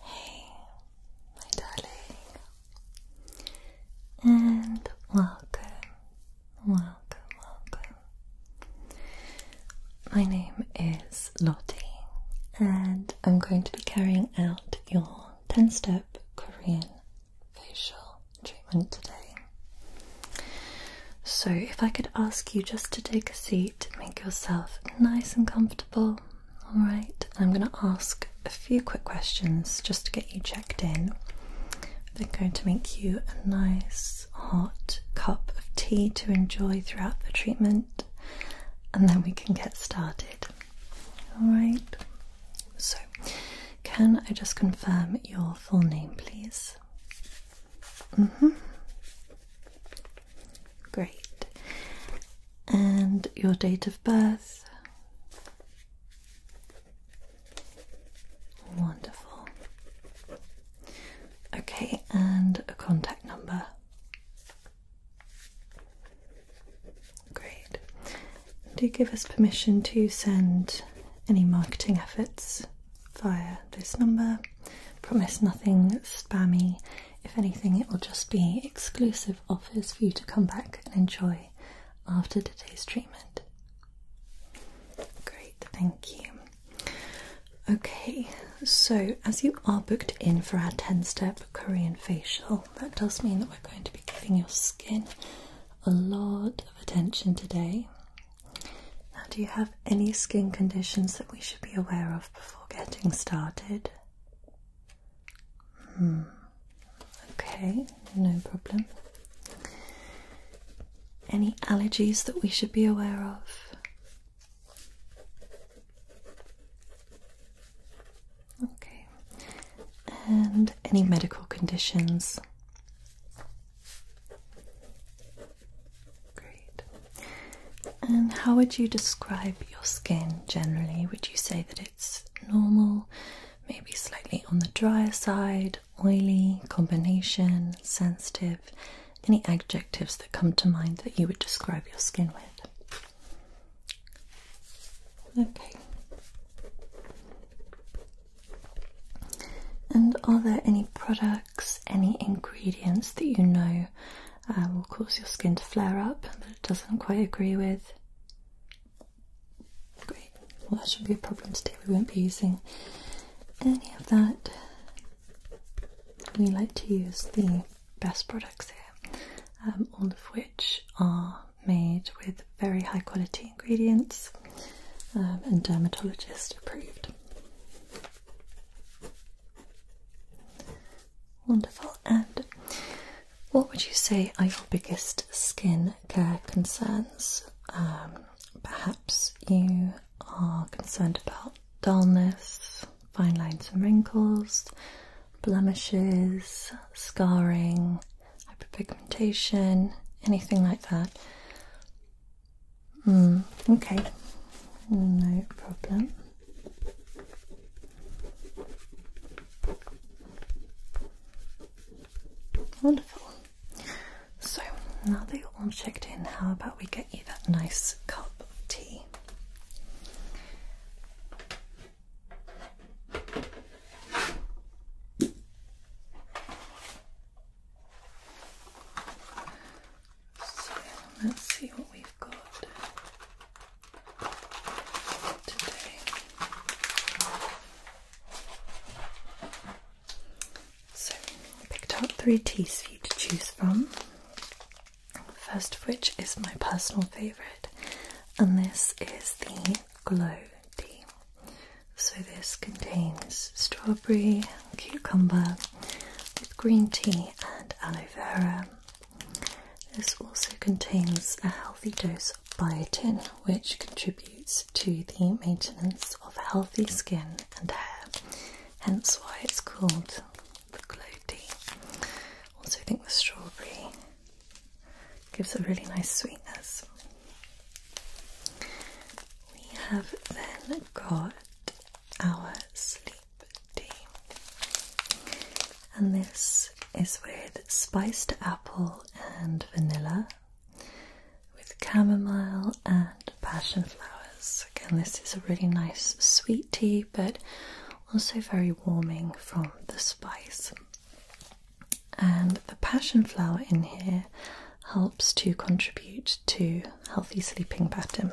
Hey, my darling, and welcome, welcome, welcome. My name is Lottie, and I'm going to be carrying out your 10 step Korean facial treatment today. So, if I could ask you just to take a seat, make yourself nice and comfortable, alright? I'm going to ask a few quick questions just to get you checked in. They're going to make you a nice hot cup of tea to enjoy throughout the treatment, and then we can get started, alright? So, can I just confirm your full name, please? Mm-hmm. Great. And your date of birth? Wonderful. Okay, and a contact number. Great do give us permission to send any marketing efforts via this number. Promise nothing spammy. If anything, it will just be exclusive offers for you to come back and enjoy after today's treatment. Great, thank you. Okay, so as you are booked in for our 10 step Korean facial, that does mean that we're going to be giving your skin a lot of attention today. Now, do you have any skin conditions that we should be aware of before getting started? Hmm. Okay, no problem. Any allergies that we should be aware of? Okay. And any medical conditions? Great. And how would you describe your skin generally? Would you say that it's normal, maybe slightly on the drier side, oily, combination, sensitive? Any adjectives that come to mind that you would describe your skin with? Okay. And are there any products, any ingredients that you know uh, will cause your skin to flare up that it doesn't quite agree with? Great, well, that should be a problem today. We won't be using any of that. We like to use the best products here, um, all of which are made with very high quality ingredients um, and dermatologist approved. Wonderful. And what would you say are your biggest skin care concerns? Um, perhaps you are concerned about dullness, fine lines and wrinkles, blemishes, scarring, hyperpigmentation, anything like that. Hmm, okay, no problem. Wonderful. So now that you're all checked in, how about we get you that nice cup of tea? So let's see what we've got today. So I picked up three teas for you to choose from. First of which is my personal favourite, and this is the Glow tea. So, this contains strawberry, cucumber with green tea and aloe vera. This also contains a healthy dose of biotin, which contributes to the maintenance of healthy skin and hair, hence why it's called the glow tea. Also, I think the strawberry gives a really nice sweetness. We have then got our sleep tea, and this is with spiced apple and vanilla, with chamomile and passion flowers. Again, this is a really nice sweet tea, but also very warming from the spice. And the passion flower in here helps to contribute to healthy sleeping pattern.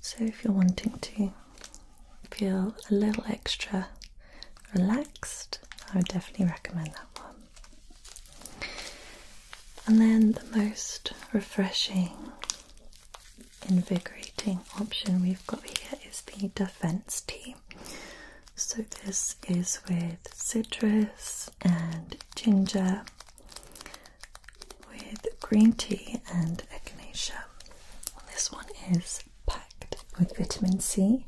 So if you're wanting to feel a little extra relaxed, I would definitely recommend that one. And then the most refreshing, invigorating option we've got here is the defense tea. So, this is with citrus and ginger, with green tea and echinacea. This one is packed with vitamin C,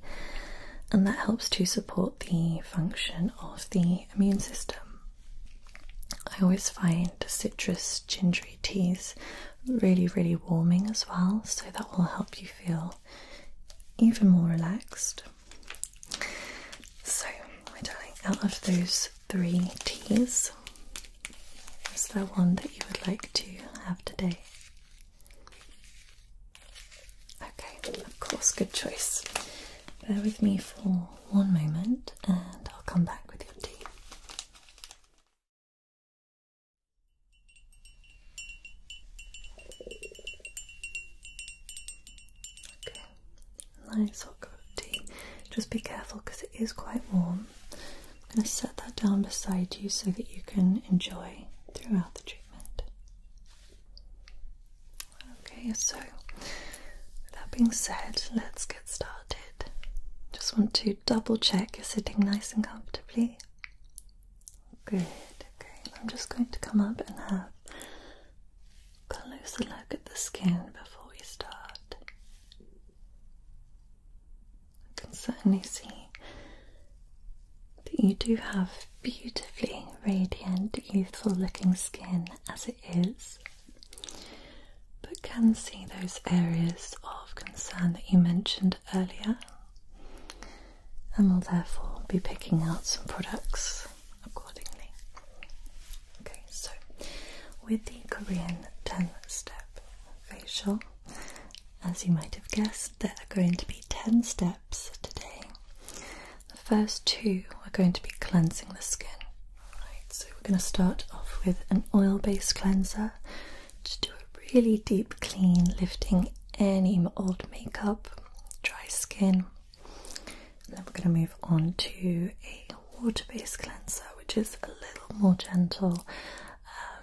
and that helps to support the function of the immune system. I always find citrus gingery teas really, really warming as well, so that will help you feel even more relaxed. So, my darling, out of those three teas, is there one that you would like to have today? Okay, of course, good choice. Bear with me for one moment and I'll come back with your tea. Okay, nice hot tea. Just be careful because it is quite warm. I'm going to set that down beside you so that you can enjoy throughout the treatment. Okay, so that being said, let's get started. Just want to double check you're sitting nice and comfortably. Good, okay. I'm just going to come up and have a closer look at the skin before we start. I can certainly see that you do have beautifully radiant, youthful looking skin as it is, but can see those areas of concern that you mentioned earlier and will therefore be picking out some products accordingly. Okay, so with the Korean 10 step facial, as you might have guessed, there are going to be 10 steps today. The first two are going to be cleansing the skin. Right, so we're going to start off with an oil based cleanser to do a really deep clean, lifting any old makeup dry skin. And then we're going to move on to a water based cleanser, which is a little more gentle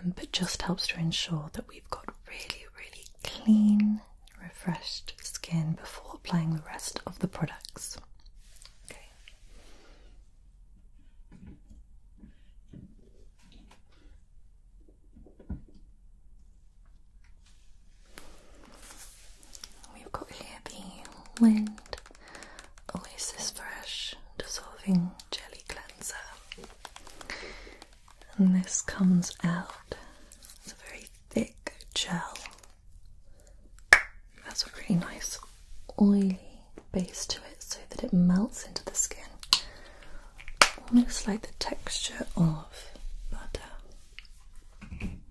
um, but just helps to ensure that we've got really, really clean, refreshed skin before applying the rest of the products. Okay. We've got here the Lind Oasis Fresh Dissolving Jelly Cleanser. And this comes out It's a very thick gel. That's a really nice oily base to it so that it melts into the skin almost like the texture of butter. I'm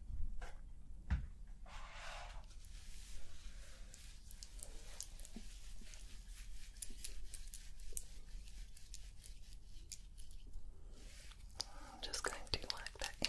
just going to work that in.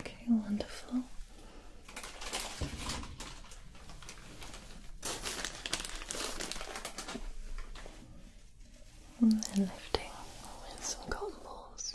Okay, wonderful. And then lifting with some cotton balls.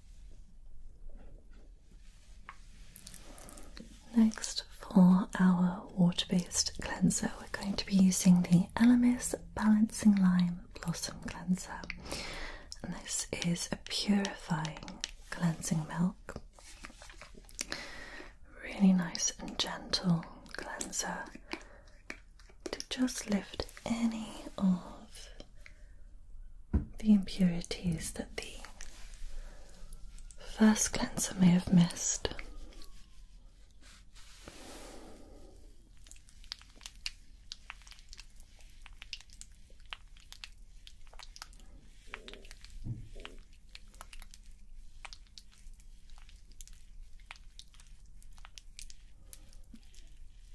Next, for our water based cleanser, we're going to be using the Elemis Balancing Lime Blossom Cleanser. this is a purifying cleansing milk. Really nice and gentle cleanser to just lift any of the impurities that the first cleanser may have missed.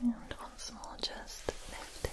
And once more, just lifting.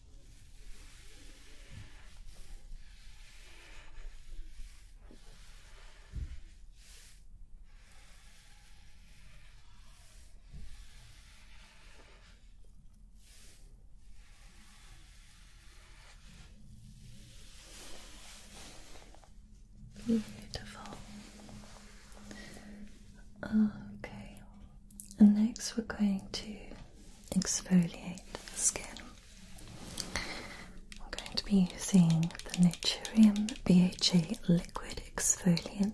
Beautiful. Okay, and next we're going to exfoliate the skin. I'm going to be using the Naturium BHA Liquid Exfoliant,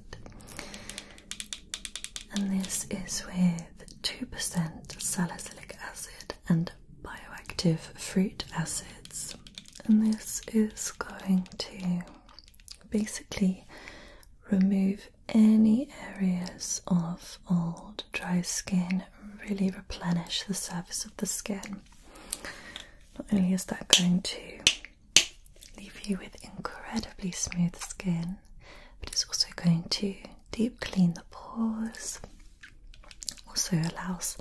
and this is with 2% salicylic acid and bioactive fruit acids, and this is going to basically remove any areas of old dry skin really replenish the surface of the skin. Not only is that going to leave you with incredibly smooth skin, but it's also going to deep clean the pores. Also allows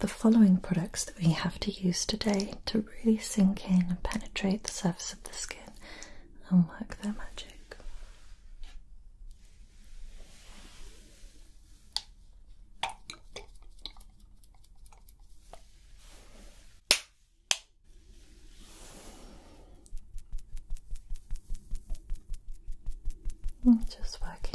the following products that we have to use today to really sink in and penetrate the surface of the skin and work their magic. I'm just working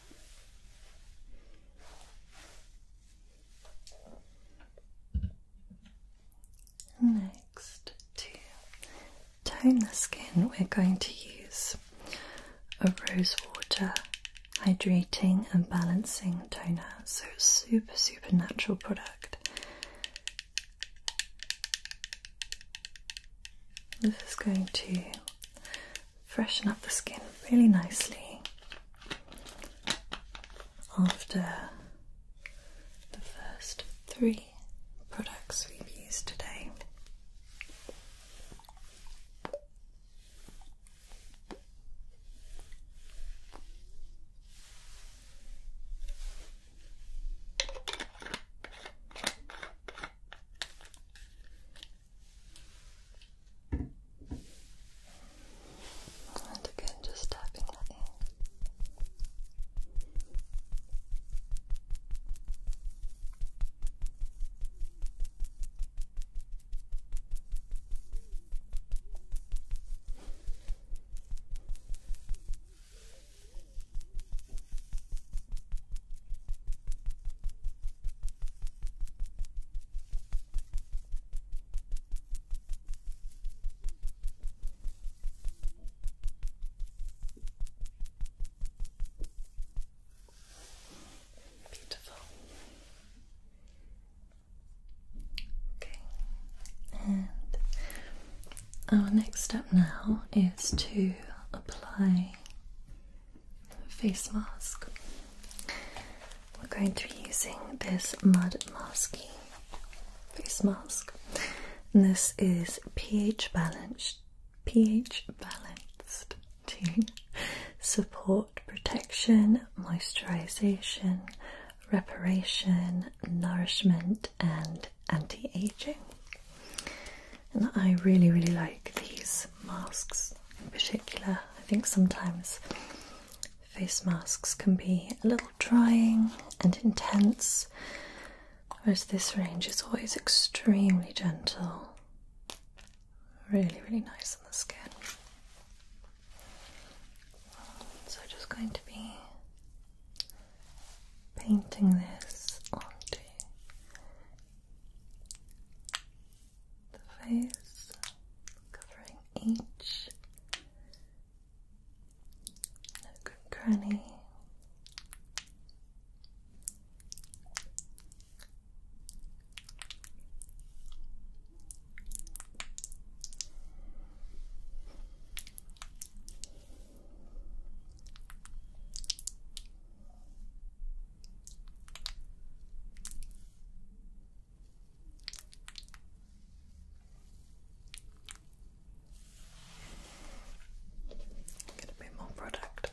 Next, to tone the skin, we're going to use a rose water hydrating and balancing toner. So, super, super natural product. This is going to freshen up the skin really nicely after the first three products we've used today. And again, just tapping that in. Beautiful. Okay, and our next step now is to apply face mask. We're going to be using this Mud Masky face mask. And this is pH balanced, pH balanced to support protection, moisturization, reparation, nourishment, and anti-aging. And I really, really like these masks in particular. I think sometimes face masks can be a little drying and intense, whereas this range is always extremely gentle. Really, really nice on the skin. So, just going to be painting this onto the face, covering each nook and cranny. Gonna be more productive.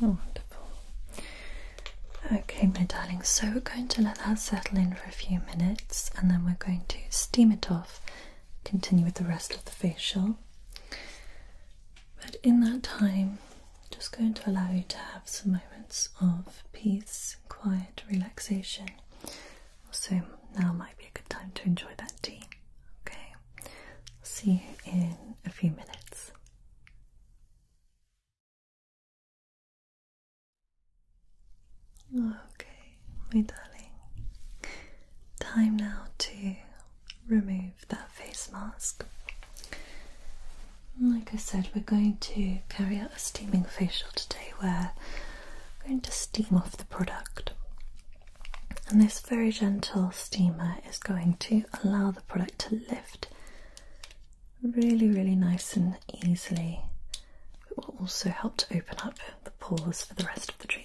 Oh, wonderful. Okay, my darling, so we're going to let that settle in for a few minutes and then we're going to steam it off, continue with the rest of the facial. But in that time, just going to allow you to have some moments of peace, quiet, relaxation. Also, now might be a good time to enjoy that tea. Okay. See you in a few minutes. Okay, my darling. Time now to remove that face mask. Like I said, we're going to carry out a steaming facial today where I'm going to steam off the product. And this very gentle steamer is going to allow the product to lift really, really nice and easily. It will also help to open up the pores for the rest of the treatment.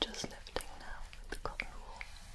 Just lifting now with the cotton wool. Just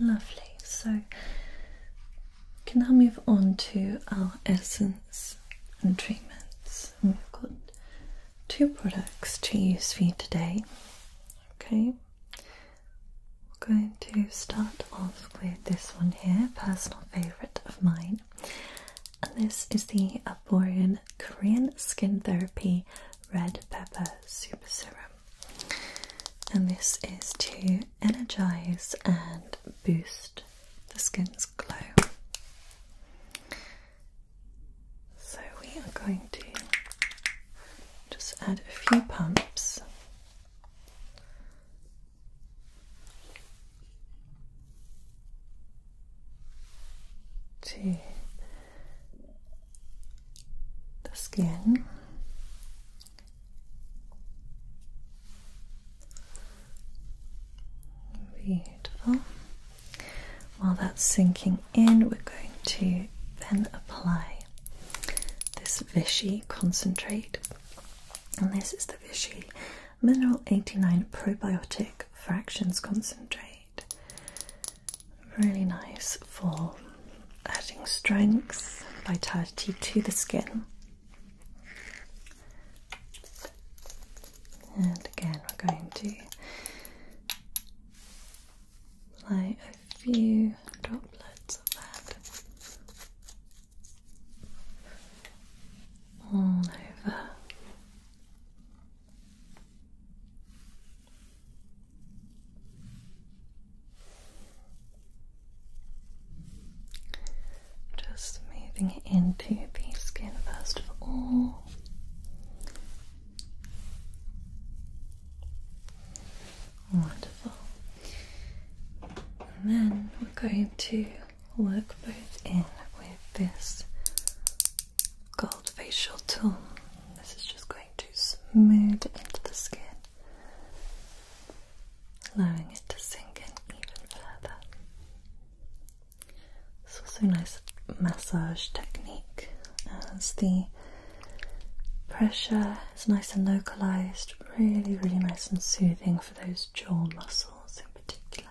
Lovely. So we can now move on to our essence and treatments. we've got two products to use for you today. Okay. We're going to start off with this one here, personal favourite of mine. And this is the Arborian Korean Skin Therapy red pepper super serum. And this is to energize and boost the skin's glow. So we are going to just add a few pumps to the skin. Beautiful. While that's sinking in, we're going to then apply this Vichy concentrate. And this is the Vichy Mineral 89 Probiotic Fractions Concentrate. Really nice for adding strength, vitality to the skin. And again, we're going to apply a few droplets of that all over just moving into the skin first of all. Wonderful. And then we're going to work both in with this gold facial tool. This is just going to smooth into the skin, allowing it to sink in even further. It's also a nice massage technique as the pressure is nice and localized, really, really nice and soothing for those jaw muscles in particular.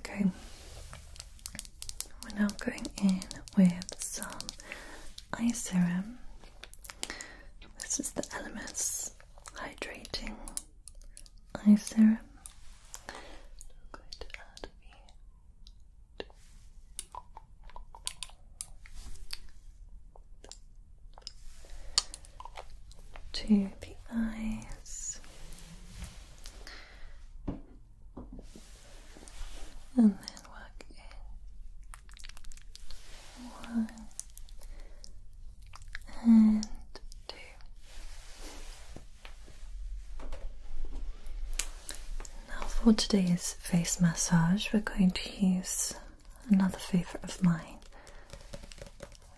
Okay, we're now going in with some eye serum. This is the Elemis hydrating eye serum. to the to the eyes and then work in one and two. Now, for today's face massage, we're going to use another favorite of mine.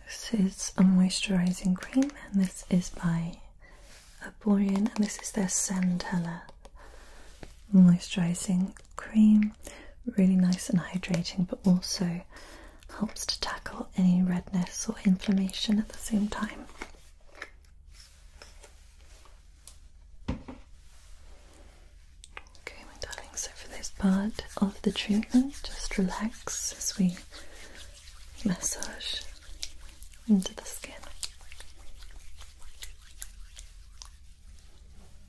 This is a moisturizing cream, and this is by Aborian, and this is their Centella moisturizing cream, really nice and hydrating, but also helps to tackle any redness or inflammation at the same time. Okay, my darling, so for this part of the treatment, just relax as we massage into the skin.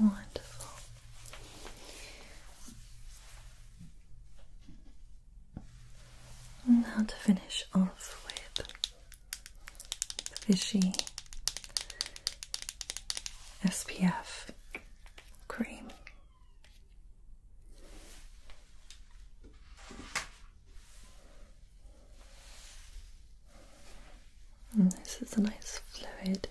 Wonderful. Now to finish off with fishy SPF cream this is a nice fluid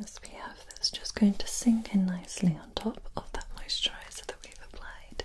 as we have that's just going to sink in nicely on top of that moisturizer that we've applied.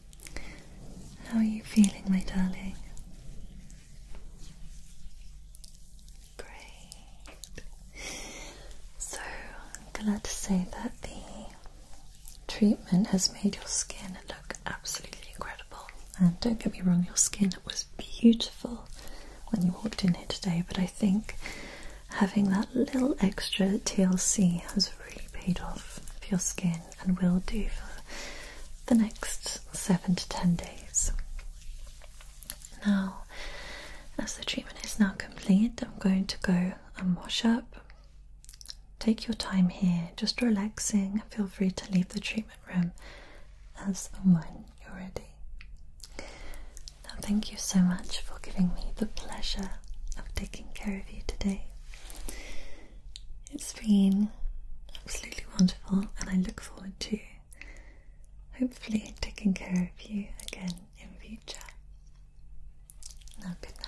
how are you feeling, my darling? Great. So, I'm glad to say that the treatment has made your skin look absolutely incredible. And don't get me wrong, your skin was beautiful when you walked in here today, but I think having that little extra TLC has really paid off for your skin in and will do for the next seven to ten days. Now, as the treatment is now complete, I'm going to go and wash up. Take your time here, just relaxing. Feel free to leave the treatment room as and when you're ready. Now, thank you so much for giving me the pleasure of taking care of you today. It's been absolutely wonderful, and I look forward to hopefully taking care of you again in future. Now, good night.